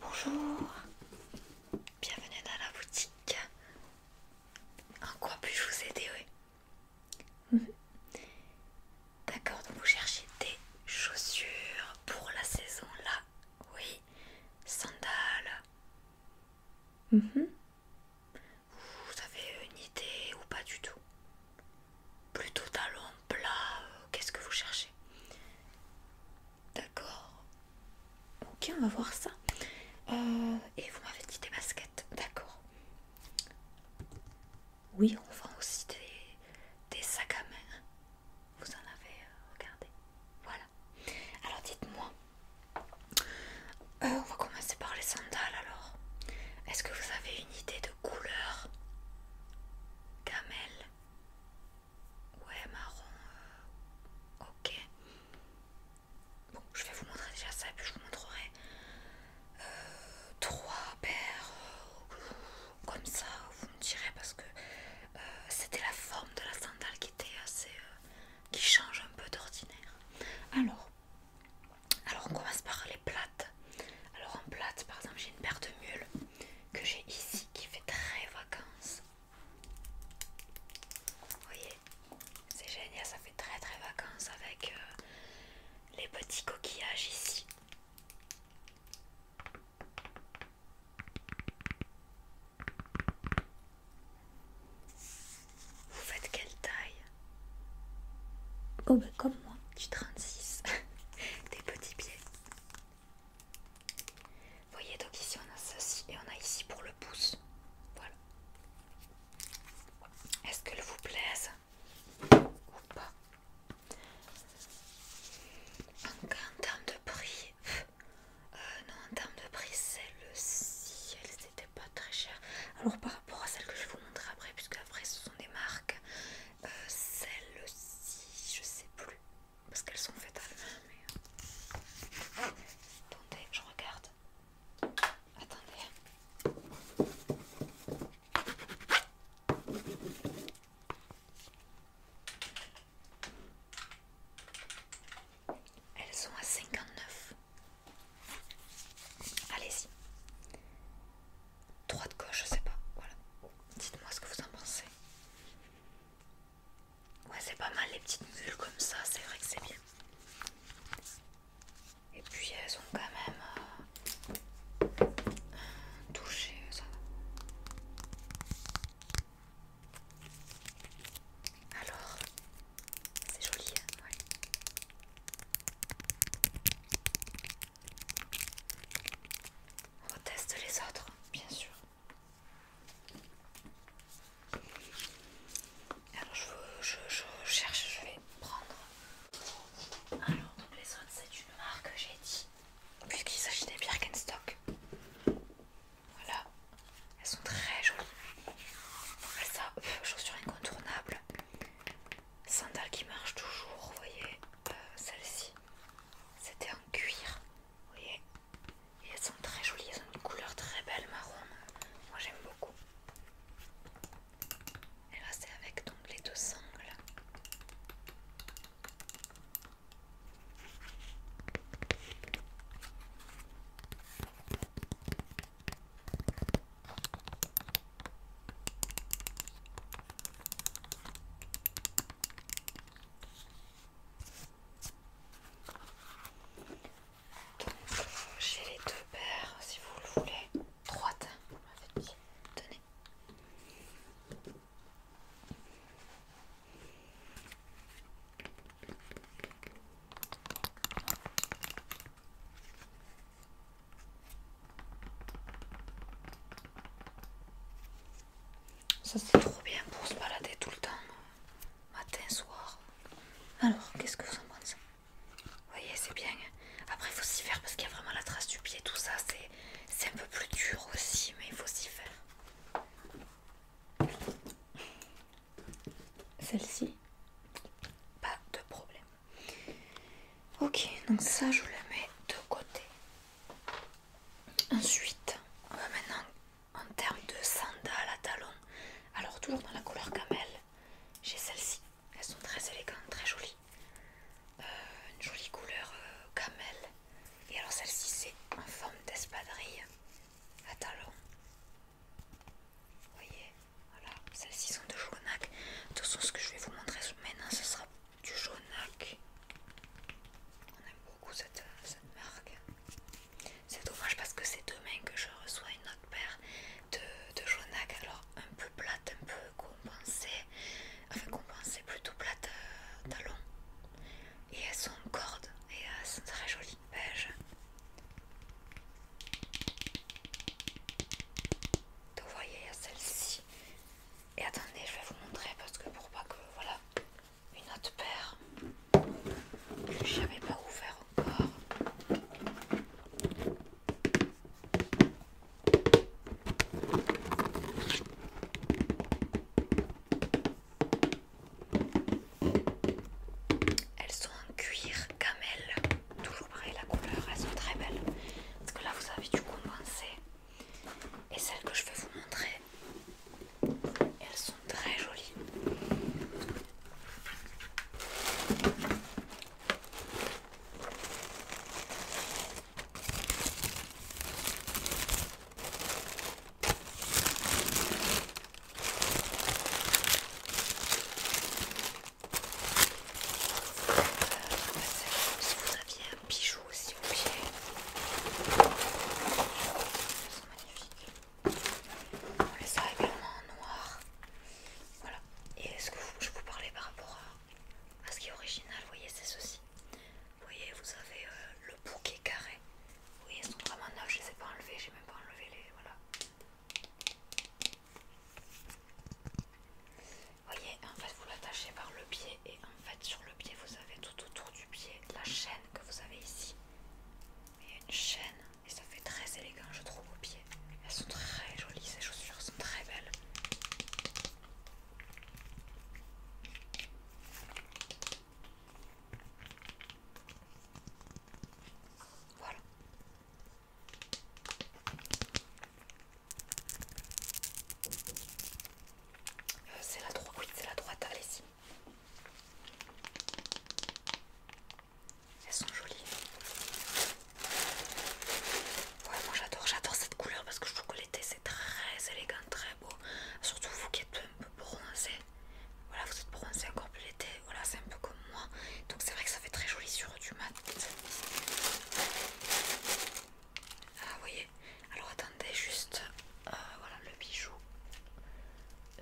bonjour, bienvenue dans la boutique. En quoi puis-je vous aider oui D'accord, vous cherchez des chaussures pour la saison là, oui, sandales. Mm-hmm. Vous avez une idée ou pas du tout Plutôt talons, plat, euh, qu'est-ce que vous cherchez D'accord. Ok, on va voir ça. Euh, et vous m'avez dit des baskets, d'accord. Oui, on vend aussi des, des sacs à main. Vous en avez euh, regardé. Voilà. Alors dites-moi, euh, on va commencer par les sandales alors. Est-ce que vous avez une idée de couleur Camel Ouais, marron. Euh, ok. Bon, je vais vous montrer déjà ça et puis je vous montrerai 3 euh, trois paires comme ça. Vous me direz parce que c'était la forme de la sandale qui était assez. qui change un peu d'ordinaire. Alors, alors on commence par les plates. Alors en plate, par exemple, j'ai une paire de mules que j'ai ici qui fait très vacances. Vous voyez, c'est génial, ça fait très très vacances avec euh, les petits coquillages ici. Vous faites quelle taille Oh ben comme moi, du 36. Des petits pieds. voyez donc ici on a ceci et on a ici pour le pouce. Voilà. Est-ce qu'elle vous plaise ou pas en termes de prix, euh, non en termes de prix le le ciel pas très cher. Alors par rapport à celles que je vais vous montrer après, puisque après ce sont des marques, celles euh, celle-ci, je sais plus, parce qu'elles sont faites à la main, Attendez, je regarde. Attendez. Elles sont à 59 Allez-y. Droite, gauche, je sais pas. Voilà. Dites-moi ce que vous en pensez. Ouais, c'est pas mal les petites bulles comme ça, c'est vrai que c'est bien. Et puis elles ont quand même euh, touché ça. Alors, c'est joli, hein On teste les autres, bien sûr. Alors je, veux, je, cherche, je vais prendre. Alors donc les autres c'est une marque j'ai dit, puisqu'il s'agit des Birkenstock. Voilà, elles sont très jolies. Ça, euh, chaussures incontournable. Sandales qui marchent toujours, vous voyez. Euh, Celle-ci, c'était en cuir. Vous voyez Et elles sont très jolies. Elles ont une couleur très belle marron. Moi j'aime beaucoup. Et là c'est avec donc les deux sangles. J'ai les deux paires, si vous le voulez, trois ça c'est trop bien pour se balader tout le temps, matin, soir. Alors, qu'est-ce que vous en pensez Vous voyez, c'est bien. Après, il faut s'y faire parce qu'il y a vraiment la trace du pied, tout ça. C'est un peu plus dur aussi, mais il faut s'y faire. Celle-ci, pas de problème. Ok, donc ça je la mets de côté. Ensuite, on va maintenant en termes de sandales à talons. Alors toujours dans la couleur camel, j'ai celle ci Elles sont très élégantes, très jolies. Euh, une jolie couleur euh, camel. Et alors celle-ci c'est en forme d'espadrille à talons voyez, voilà, celles-ci sont de jaunac. De toute façon, ce que je vais vous montrer maintenant, ce sera du jaunac. On aime beaucoup cette, marque. C'est dommage parce que c'est demain que je reçois une autre paire de, de Alors, un peu plate, un peu compensée. Enfin, compensée plutôt plate euh, talon. Et elles sont en corde et elles euh, sont très jolies. Beige donc vous voyez il y a celle-ci et attendez je vais vous montrer parce que pour pas que voilà une autre paire que j'avais pas ouvert encore elles sont en cuir camel Toujours pareil, la couleur, elles sont très belles. Parce que là, vous avez du condensé. Et celles que je vais vous montrer, elles sont très jolies si vous aviez un bijou aussi vous plaît ils sont magnifiques on les a également en noir voilà et est-ce que je vous parlais par rapport à, ce qui est original vous voyez c'est ceci vous voyez vous avez euh, le bouquet carré oui voyez elles sont vraiment neufs je les ai pas enlevés j'ai même pas enlevé les voilà voyez, en fait, vous l'attachez par le pied et en fait, sur le pied, vous avez tout autour du pied la chaîne que vous avez ici. Il y a une chaîne et ça fait très élégant, je trouve, au pied. Elles sont très jolies, ces chaussures sont très belles. Voilà, euh, c'est la droite, c'est la droite, allez-y. Elles sont jolies. moi j'adore, j'adore cette couleur parce que je trouve que l'été c'est très élégant, très beau. Surtout vous qui êtes un peu bronzé. Voilà, vous êtes bronzé encore plus l'été voilà, c'est un peu comme moi. Donc c'est vrai que ça fait très joli sur du mat. Ah, vous voyez. Alors attendez juste, euh, voilà le bijou,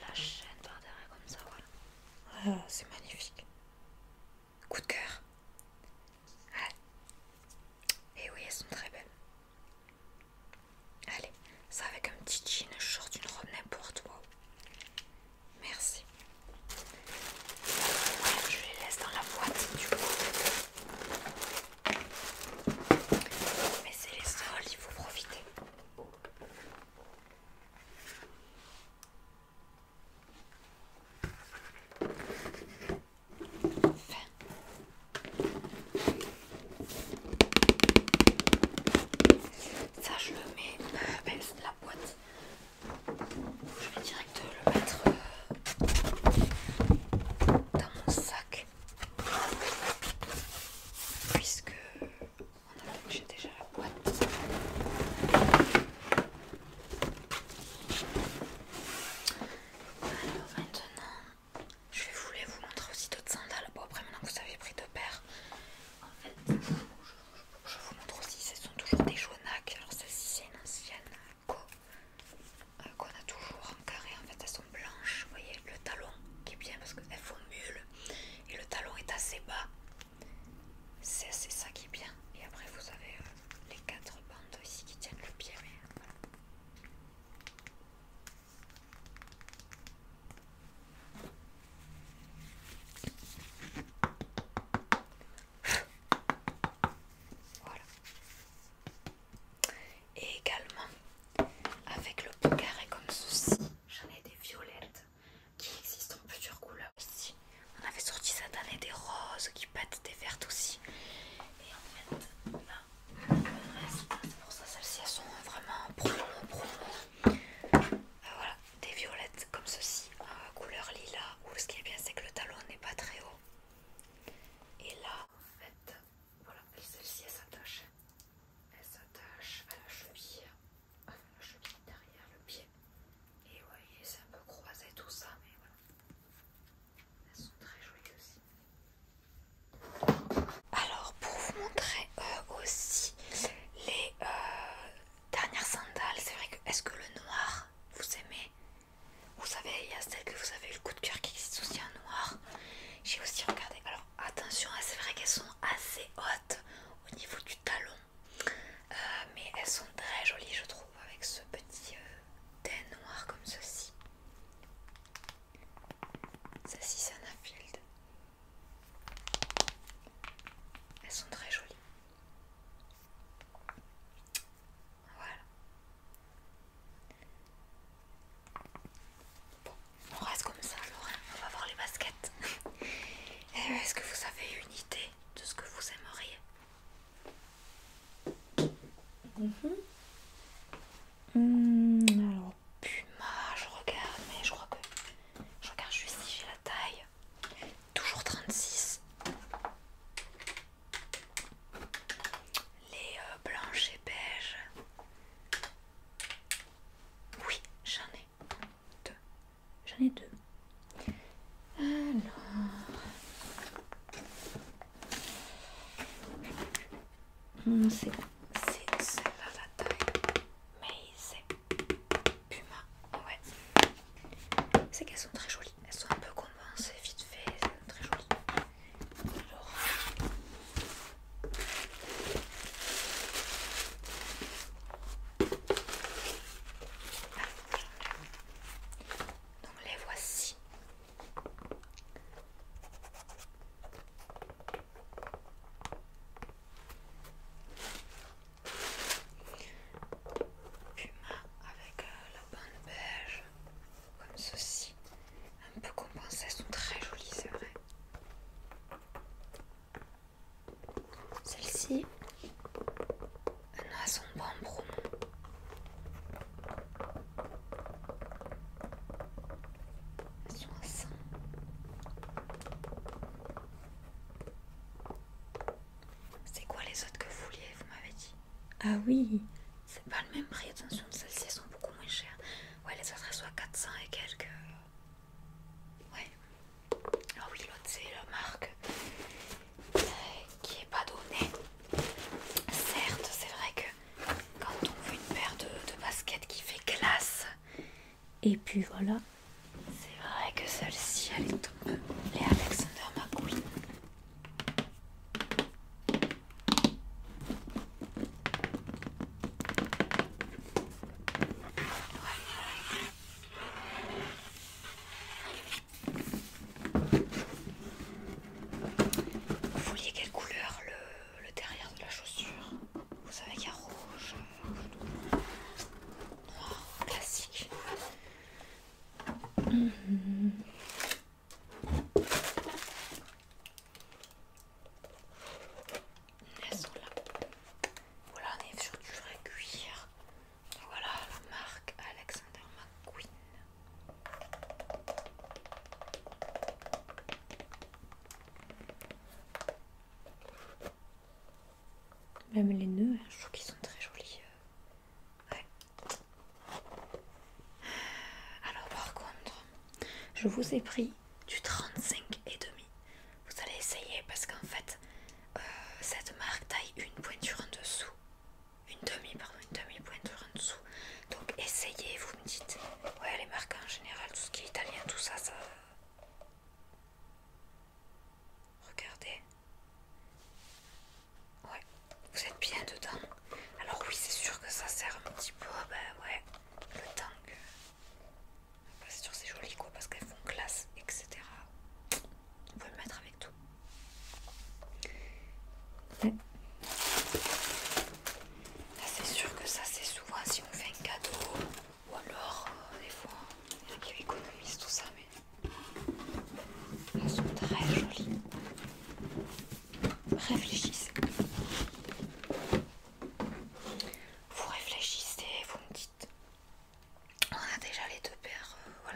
la hum. chaîne par derrière comme ça, voilà. Ah, c'est magnifique. Coup de cœur. Allez. Et oui, elles sont très belles. Allez, ça avec un petit jean, short, une robe n'importe quoi. Merci. Je les laisse dans la boîte du coup. Mais c'est les sols, il faut profiter. Enfin. Ça je le mets, dans euh, ben, la boîte, je vais direct le mettre euh, dans mon sac puisque on a j'ai déjà la boîte. Alors maintenant, je voulais vous montrer aussi d'autres sandales. Bon après maintenant que vous avez pris deux paires, en fait, je vous montre aussi, ce sont toujours des jaunacs. Alors celle-ci c'est une ancienne euh, qu'on a toujours en carré. En fait elles sont blanches. Vous voyez le talon qui est bien parce qu'elles font mule et le talon est assez bas. C'est ça qui est bien. Et après vous avez euh, les quatre bandes ici qui tiennent le pied. Euh, voilà. Voilà. Et également, avec le carré comme ceci, j'en ai des violettes qui existent en plusieurs couleurs. aussi. on avait sorti cette année des roses qui pâtent des vertes aussi. Et en fait, là, c'est pour ça, celles-ci elles sont vraiment profondes, profondes. Euh, voilà, des violettes comme ceci, en couleur lilas, où ce qui est bien c'est que le talon n'est pas très haut. Et là, en fait, voilà, celle-ci elle s'attache. Elle s'attache à la cheville, la cheville derrière le pied. Et vous voyez, c'est un peu croisé tout ça, mais voilà. Elles sont très jolies aussi. Alors pour vous montrer euh, aussi les, euh, Dernière sandale, c'est vrai que. Est-ce que le noir vous aimez Vous savez, il y a celle que vous avez le coup de cœur qui existe aussi en noir. J'ai aussi regardé. Alors attention, hein, c'est vrai qu'elles sont assez hautes au niveau du talon. Euh, mais elles sont très jolies, je trouve, avec ce petit dé euh, noir comme ceci. Celle-ci, c'est un Elles sont très jolies. Voilà. Bon, on reste comme ça Laura, on va voir les baskets. Eh, est-ce que vous avez une idée de ce que vous aimeriez Hmm. alors Puma, je regarde, mais je crois que je regarde juste si j'ai la taille toujours 36. Les euh, blanches et beiges Oui, j'en ai deux. J'en ai deux. Alors, hmm, c'est celle-là la taille, mais c'est Puma, ouais. C'est qu'elles sont très jolies. Elles sont un peu convaincées, vite fait, elles sont très jolies. Alors... Donc les voici. Puma avec euh, la bande beige, comme ceci, un peu compensé, elles sont très jolies, c'est vrai. Celle-ci, elle a son bambou. Elles sont à 100. C'est quoi les autres que vous vouliez, vous m'avez dit Ah oui C'est pas le même prix, attention, celles-ci sont beaucoup moins chères. Ouais, les autres elles sont à 400 et quelques. Ouais. Ah oui, l'autre c'est la marque euh, qui est pas donnée. Certes, c'est vrai que quand on veut une paire de, de baskets qui fait classe. Et puis voilà, c'est vrai que celle-ci, elle est Elle les Alexander McQueen. Vous voyez quelle couleur le derrière de la chaussure Vous savez qu'il y a rouge, classique. Voilà, on est sur du vrai cuir. Voilà la marque Alexander McQueen. Même les nœuds, hein, je trouve qu'ils sont très jolis. Euh. Ouais. Alors par contre, je vous ai pris du 35 et demi. Vous allez essayer parce qu'en fait, euh, cette marque taille une pointure en dessous. Une demi, pardon, une demi-pointure en dessous. Donc essayez, vous me dites. Ouais, les marques en général, tout ce qui est italien, tout ça, ça... Regardez. Ouais, vous êtes bien dedans. Alors oui, c'est sûr que ça sert un petit peu, ben ouais, le temps c'est sûr c'est joli quoi, parce qu'elles font classe, etc. On peut le mettre avec tout. c'est sûr que ça c'est souvent si on fait un cadeau, ou alors euh, des fois, il y en a qui économisent tout ça, mais elles sont très jolies. Réfléchissez. Vous réfléchissez, vous me dites. On a déjà les deux paires, euh,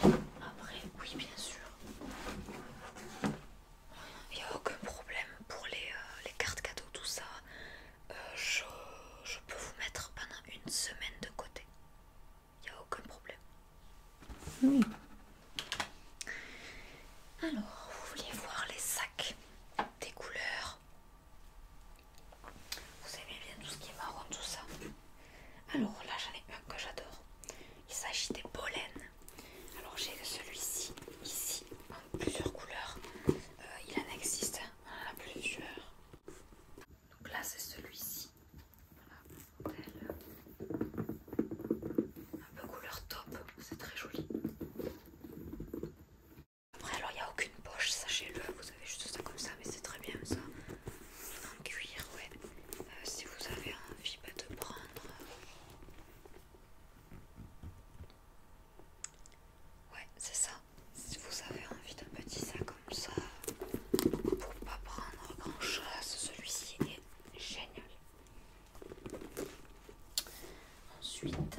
voilà. Après, oui, bien sûr. Il n'y a aucun problème pour les, euh, les cartes cadeaux, tout ça. Euh, je, peux vous mettre pendant une semaine de côté. Il n'y a aucun problème. Alors, vous voulez voir les sacs des couleurs Vous savez bien tout ce qui est marron, tout ça Alors là, j'en ai un que j'adore. Il s'agit des pollens. Alors j'ai celui-ci, ici, en plusieurs couleurs. Euh, il en existe plusieurs. Donc là, c'est celui-ci. un peu couleur top, c'est très joli. Après, alors il n'y a aucune poche, sachez-le, vous avez juste ça comme ça, mais c'est très bien ça. En cuir, ouais. Euh, si vous avez envie bah, de prendre euh, Ouais, c'est ça. Si vous avez envie d'un petit sac comme ça, pour pas prendre grand chose, celui-ci est génial. Ensuite,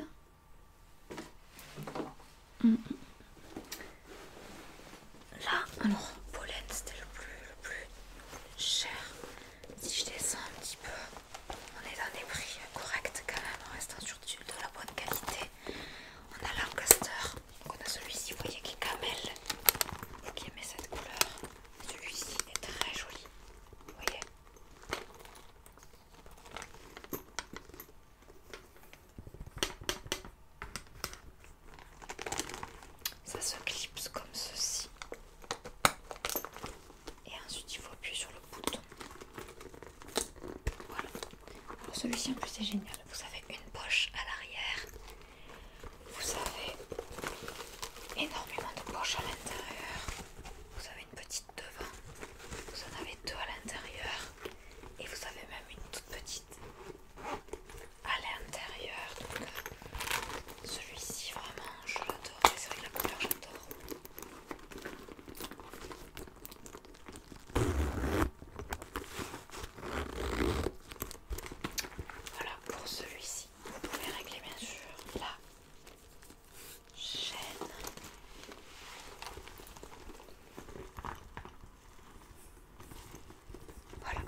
mm. là, alors, pollen c'était le plus, le plus cher. Si je descends un petit peu, on est dans des prix corrects quand même, en restant sur de la bonne qualité. On a l'Ancaster, on a celui-ci, vous voyez qui est camel, qui aimez cette couleur. Celui-ci est très joli, vous voyez. Ça se clipse comme ceci. Et ensuite il faut appuyer sur le bouton. Voilà. celui-ci en plus c'est génial. Vous avez une poche à l'arrière. Vous avez énormément de poches à l'intérieur. Vous avez une petite devant. Vous en avez deux à l'intérieur. Et vous avez même une toute petite à l'intérieur. Donc euh, celui-ci vraiment je l'adore. C'est vrai la couleur j'adore. Voilà pour celui-ci. Vous pouvez régler bien sûr la chaîne. Voilà.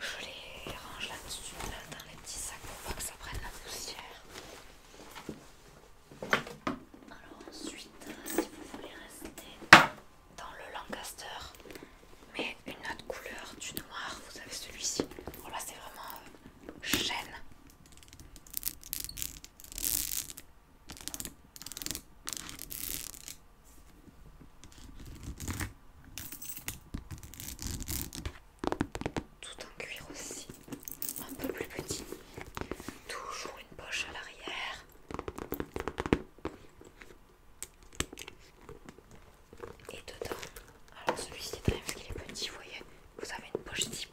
Je les range là-dessus, dans les petits sacs pour pas que ça prenne la poussière. Alors ensuite, si vous voulez rester dans le Lancaster, mais une autre couleur du noir, vous avez celui-ci. Voilà, oh c'est vraiment euh, chêne tout en cuir aussi, un peu plus petit. Toujours une poche à l'arrière. Et dedans, alors celui-ci est parce qu'il est petit, vous voyez, vous avez une poche type.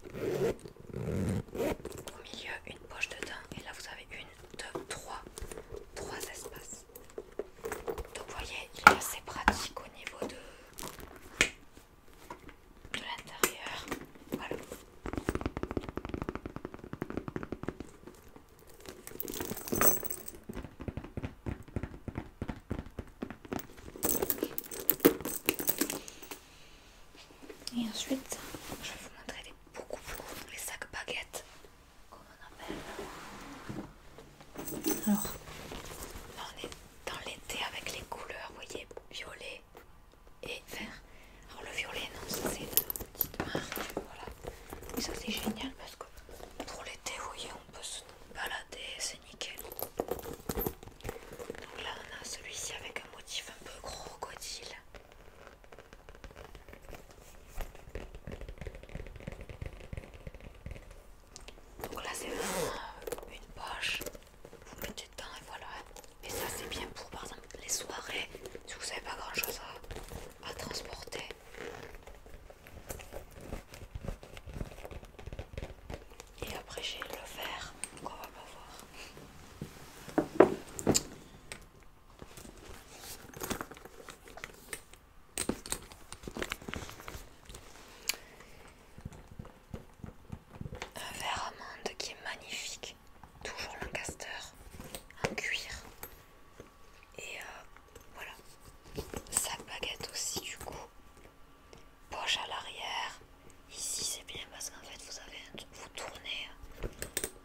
Au milieu, une poche dedans, et là vous avez une, deux, trois, trois espaces. Donc vous voyez, il est assez pratique au niveau de de l'intérieur. Voilà. Et ensuite, je vais vous montrer les, beaucoup, beaucoup les sacs baguettes, comme on appelle. Alors, là on est dans l'été avec les couleurs, vous voyez, violet, et faire. Alors le violet, non, ça c'est une petite marque, voilà. Et ça c'est génial parce que pour l'été, vous voyez, on peut se balader, c'est nickel. Donc là, on a celui-ci avec un motif un peu crocodile. Donc là, c'est vraiment une poche vous le mettez et voilà. Et ça c'est bien pour par exemple les soirées, si vous n'avez pas grand chose à, à transporter. Et après j'ai le verre qu'on va pas voir. Un verre amande qui est magnifique. Toujours Lancaster. en cuir. Et euh, voilà. Sa baguette aussi du coup. Poche à l'arrière. Ici c'est bien parce qu'en fait vous avez vous tournez.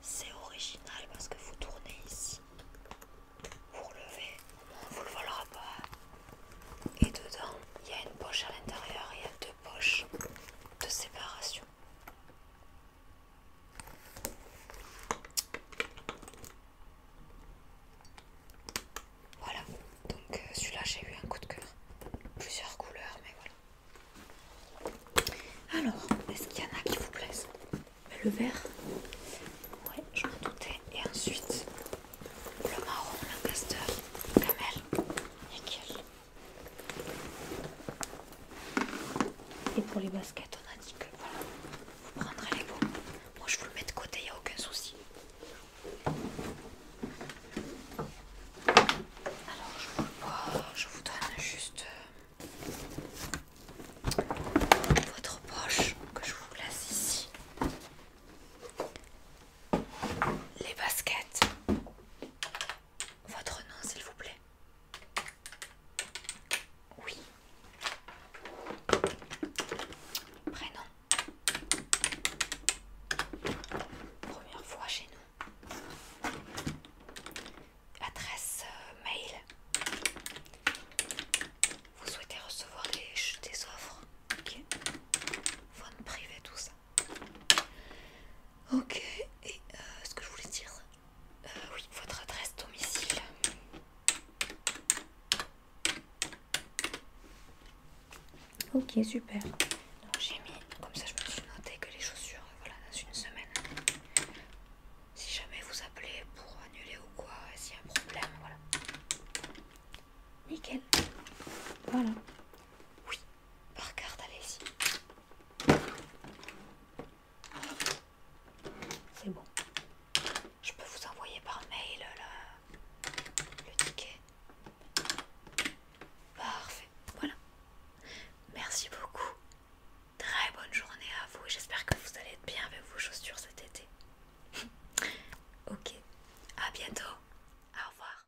C'est original parce que vous tournez ici. Vous relevez. on vous le volera pas. Et dedans, il y a une poche à l'intérieur. Il y a deux poche de séparation. Voilà, donc euh, celui-là j'ai eu un coup de cœur. Plusieurs couleurs, mais voilà. Alors, est-ce qu'il y en a qui vous plaisent Le vert Ouais, je m'en doutais. Et ensuite, le marron, la camel, nickel. Et pour les baskets, on a dit que voilà, vous prendrez les bons. Moi je vous le mets de côté, il n'y a aucun souci. Alors je vous, je vous donne juste euh, votre poche que je vous laisse ici les baskets. Votre nom, s'il vous plaît. Oui. Prénom. Première fois chez nous. Adresse euh, mail. Vous souhaitez recevoir des, des offres. Ok. Phone privé, tout ça. Ok, et euh, ce que je voulais dire, euh, oui, votre adresse domicile. Ok, super. Donc j'ai mis, comme ça je me suis noté que les chaussures, voilà, dans une semaine. Si jamais vous appelez pour annuler ou quoi, s'il y a un problème, voilà. Nickel. Voilà. Oui, par carte, allez-y. C'est bon. Je peux vous envoyer par mail euh, le, ticket. Parfait. Voilà. Merci beaucoup. Très bonne journée à vous. J'espère que vous allez être bien avec vos chaussures cet été. ok. À bientôt. Au revoir.